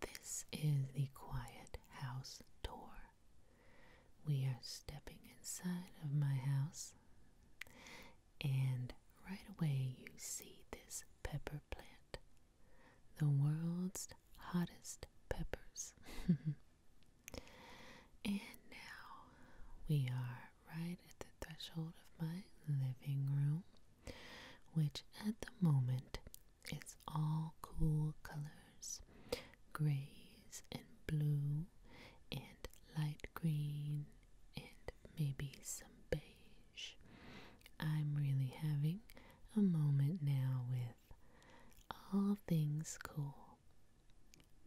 This is the quiet house tour. We are stepping inside of my house, and right away you see this pepper plant, the world's hottest peppers. and now we are right at the threshold of my living room which at the moment is all cool colors grays and blue and light green and maybe some beige. I'm really having a moment now with all things cool.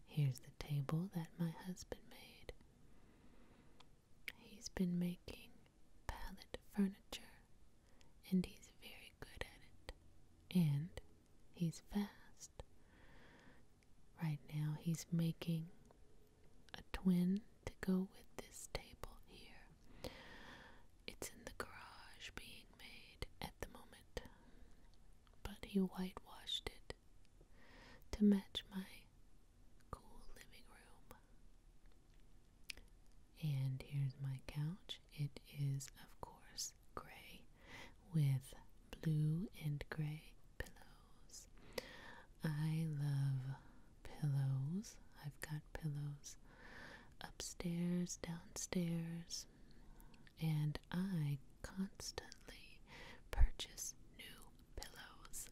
Here's the table that my husband made. He's been making pallet furniture and he's very good at it. And he's fast. Right now, he's making a twin to go with this table here. It's in the garage being made at the moment, but he whitewashed it to match my cool living room. And here's my couch. It is, of course, gray with blue and gray pillows. I love pillows. I've got pillows upstairs, downstairs, and I constantly purchase new pillows.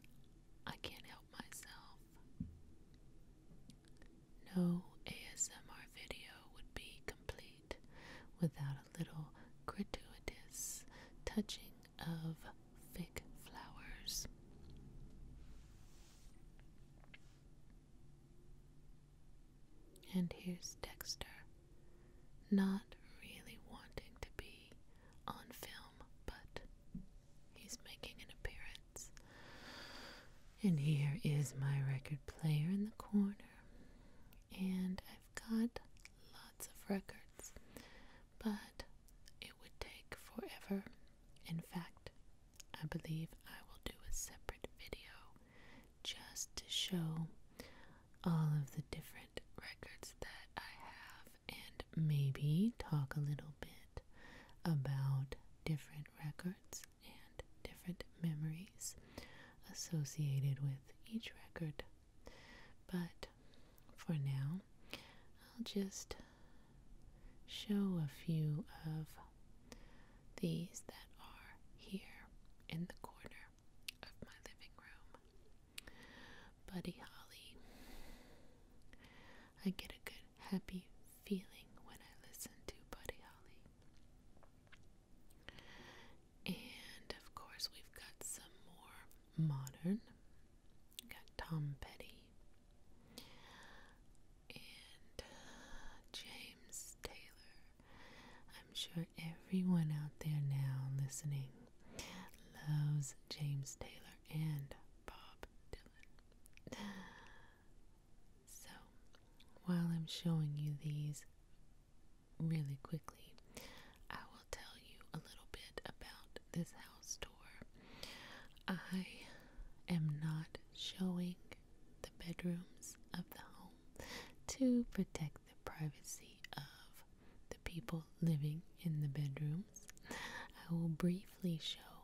I can't help myself. No ASMR video would be complete without a little gratuitous touching of fake flowers. And here's Dexter, not really wanting to be on film, but he's making an appearance. And here is my record player in the corner. And I've got lots of records, but it would take forever. In fact, I believe I will do a separate video just to show all of the different records that I have and maybe talk a little bit about different records and different memories associated with each record. But for now, I'll just show a few of these that are here in the corner of my living room. Buddy Holly. I get a good happy feeling when I listen to Buddy Holly. And of course, we've got some more modern. got Tom Petty and uh, James Taylor. I'm sure everyone out there now listening loves James Taylor and Bob Dylan. so, while I'm showing you these really quickly, I will tell you a little bit about this house tour. I am not showing the bedrooms of the home to protect the privacy of the people living in the bedroom. I will briefly show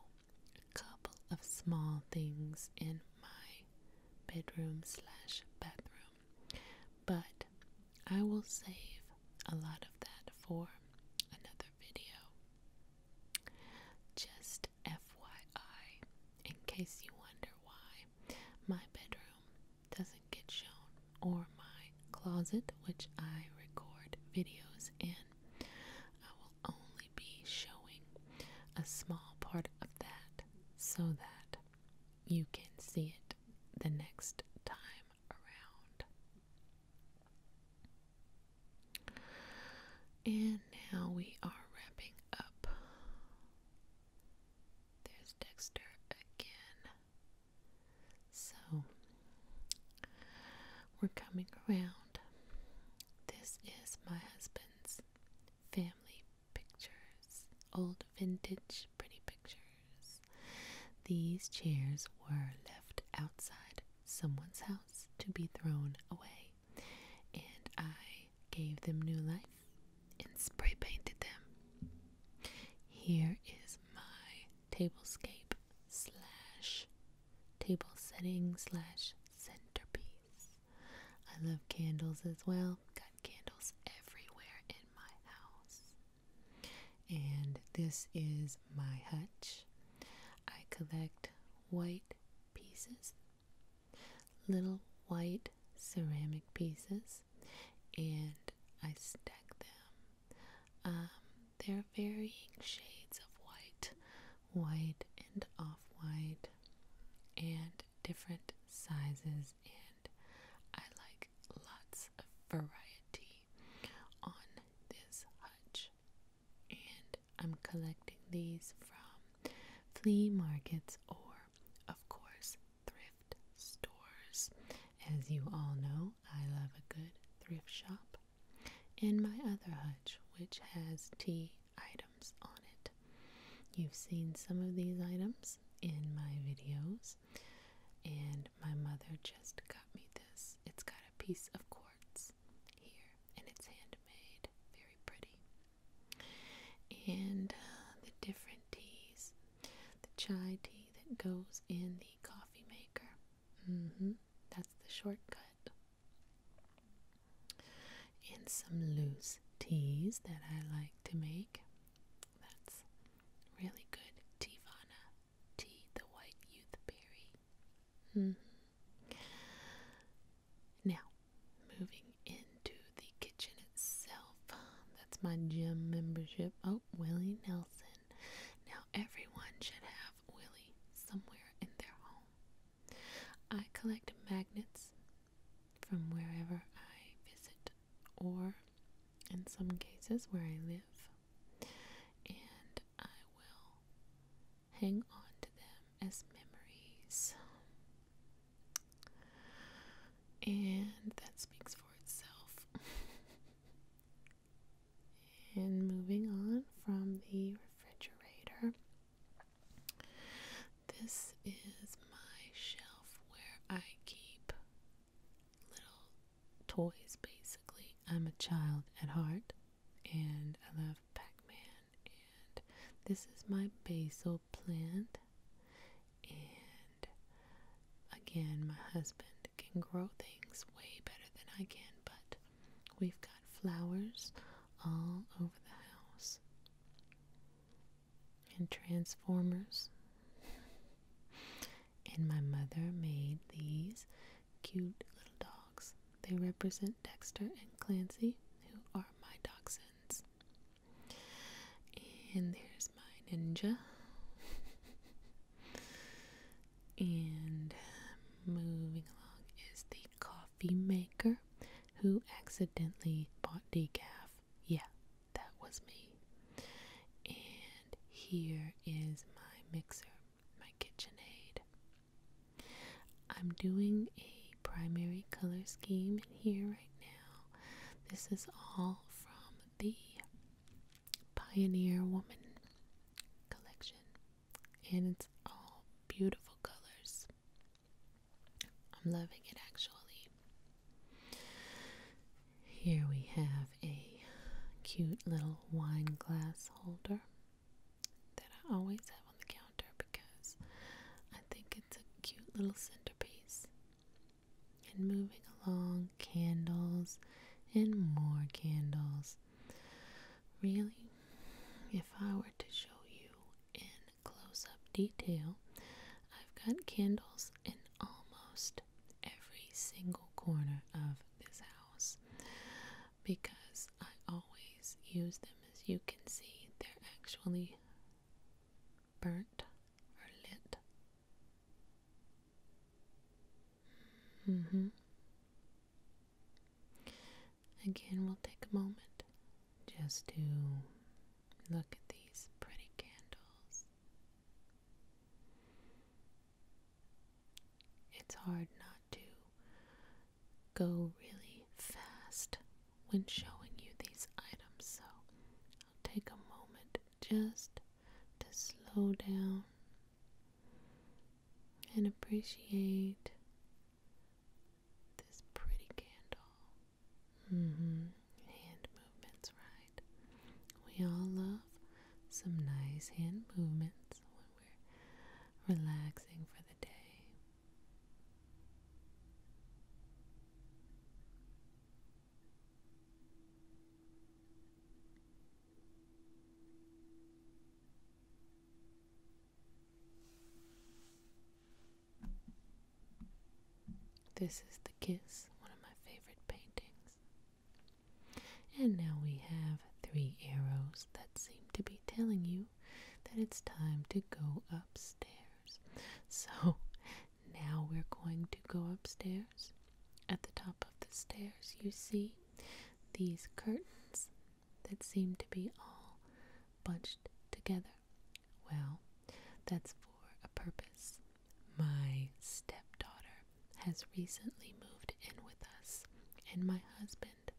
a couple of small things in my bedroom slash bathroom, but I will save a lot of that for another video. Just FYI, in case you wonder why my bedroom doesn't get shown or my closet, which I record videos in, I will only be showing a small part of that so that you can see it the next time around. And now we are wrapping up. There's Dexter again. So we're coming around. This is my husband's family pictures, old vintage pretty pictures. These chairs were left outside someone's house to be thrown away, and I gave them new life and spray painted them. Here is my tablescape slash table setting slash centerpiece. I love candles as well. Got candles everywhere in my house. And this is my hutch. I collect white pieces, little white ceramic pieces, and I stack them. Um, they're varying shades of white, white and off white, and different sizes. And I like lots of variety on this hutch. And I'm collecting these from flea markets or, of course, thrift stores. As you all know, I love a good thrift shop in my other hutch, which has tea items on it. You've seen some of these items in my videos, and my mother just got me this. It's got a piece of quartz here, and it's handmade, very pretty. And uh, the different teas the chai tea that goes in the coffee maker. Mm-hmm. That's the shortcut. And some loose teas that I like to make. That's really good. Tivana tea, the white youth berry. -hmm. Now, moving into the kitchen itself. That's my gym membership. Oh, Willie Nelson. Now everyone should have Willy somewhere in their home. I collect magnets from wherever I visit or in some cases where I live and I will hang on to them as memories. And that speaks for itself. And moving on from the refrigerator, this is my shelf where I keep little toys basically. I'm a child at heart and I love Pac Man. And this is my basil plant. And Again, my husband can grow things way better than I can, but we've got flowers all over the house and transformers. And my mother made these cute little dogs. They represent Dexter and Clancy, who are my dachshunds. And there's my ninja. And moving along is the coffee maker who accidentally bought decaf. Yeah, that was me. And here is my mixer, my KitchenAid. I'm doing a primary color scheme in here right now. This is all from the Pioneer Woman collection, and it's all beautiful colors. I'm loving it actually. Here we have a cute little wine glass holder that I always have on the counter because I think it's a cute little centerpiece. And moving along, candles and more candles. Really, if I were to show you in close up detail, I've got candles in almost every single corner of this house because I always use them. As you can see, they're actually burnt or lit Mm hmm. Again, we'll take a moment just to look at these pretty candles. It's hard not to go really fast when showing you these items, so I'll take a moment just to slow down and appreciate this pretty candle. Mm-hmm. Hand movements, right? We all love some nice hand movements when we're relaxing for the day. This is The Kiss, one of my favorite paintings. And now we have three arrows that seem to be telling you that it's time to go upstairs. So now we're going to go upstairs at the top of the stairs, you see these curtains that seem to be all bunched together. Well, that's for a purpose. My stepdaughter has recently moved in with us, and my husband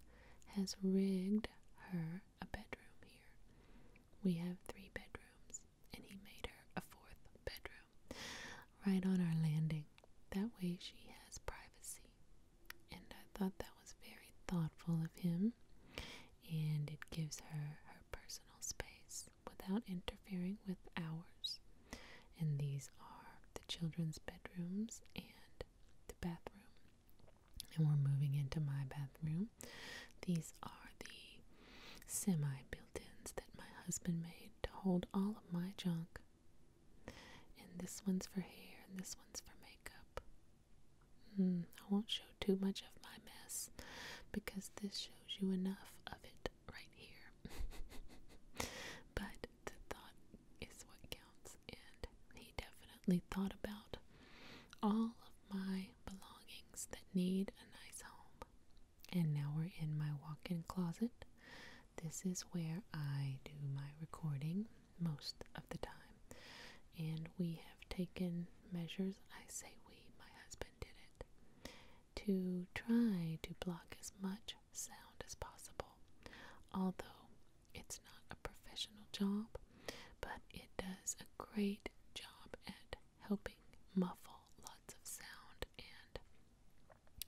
has rigged her a bedroom here. We have three bedrooms, and he made her a fourth bedroom right on our landing. That way she has privacy. And I thought that was very thoughtful of him, and it gives her her personal space without interfering with ours. And these are the children's bedrooms and the bathroom. And we're moving into my bathroom. These are the semi built ins that my husband made to hold all my junk. And this one's for hair, and this one's for makeup. Hmm, I won't show too much of my mess because this shows you enough of it right here. but the thought is what counts, and he definitely thought about all of my belongings that need a nice home. And now we're in my walk in closet. This is where I do my recording most of the time. And we have taken measures, I say we, my husband did it, to try to block as much sound as possible. Although it's not a professional job, but it does a great job at helping muffle lots of sound and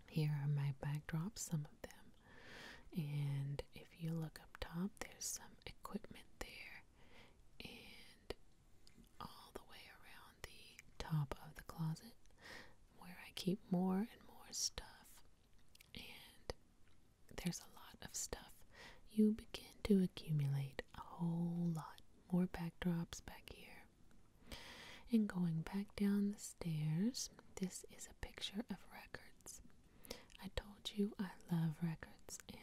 here are my backdrops, some of them. And if you look up top, there's some equipment there. And all the way around the top of the closet, where I keep more and more stuff. And there's a lot of stuff. You begin to accumulate a whole lot. More backdrops back here. And going back down the stairs, this is a picture of records. I told you I love records, and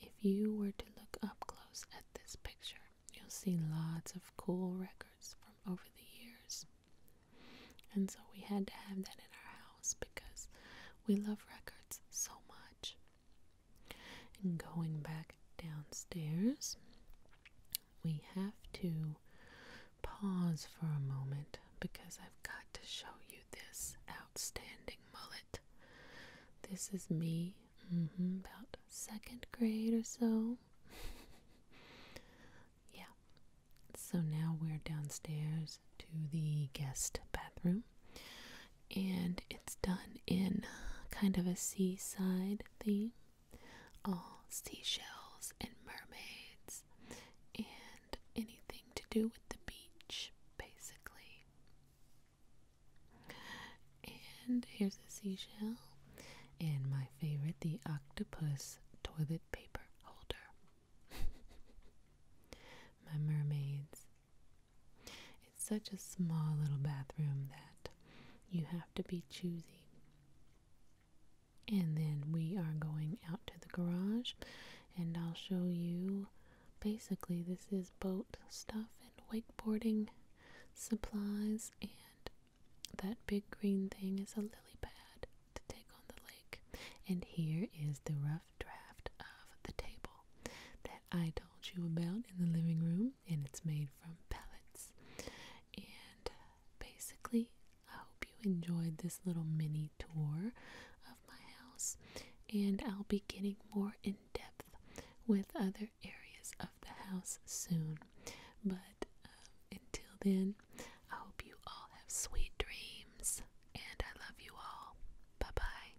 if you were to look up close at this picture, you'll see lots of cool records from over the years. And so we had to have that in our house because we love records so much. And going back downstairs, we have to pause for a moment because I've got to show you this outstanding mullet. This is me, mm-hmm, about second grade or so. yeah. So now we're downstairs to the guest bathroom, and it's done in kind of a seaside theme all seashells and mermaids and anything to do with the beach, basically. And here's a seashell and my favorite, the octopus toilet paper holder. my mermaids. It's such a small little bathroom that you have to be choosy. And then we are going out to the garage and I'll show you basically this is boat stuff and wakeboarding supplies and that big green thing is a lily pad to take on the lake. And here is the rough draft of the table that I don't told you about in the living room, and it's made from pellets. And uh, basically, I hope you enjoyed this little mini tour of my house, and I'll be getting more in depth with other areas of the house soon. But uh, until then, I hope you all have sweet dreams, and I love you all. Bye bye.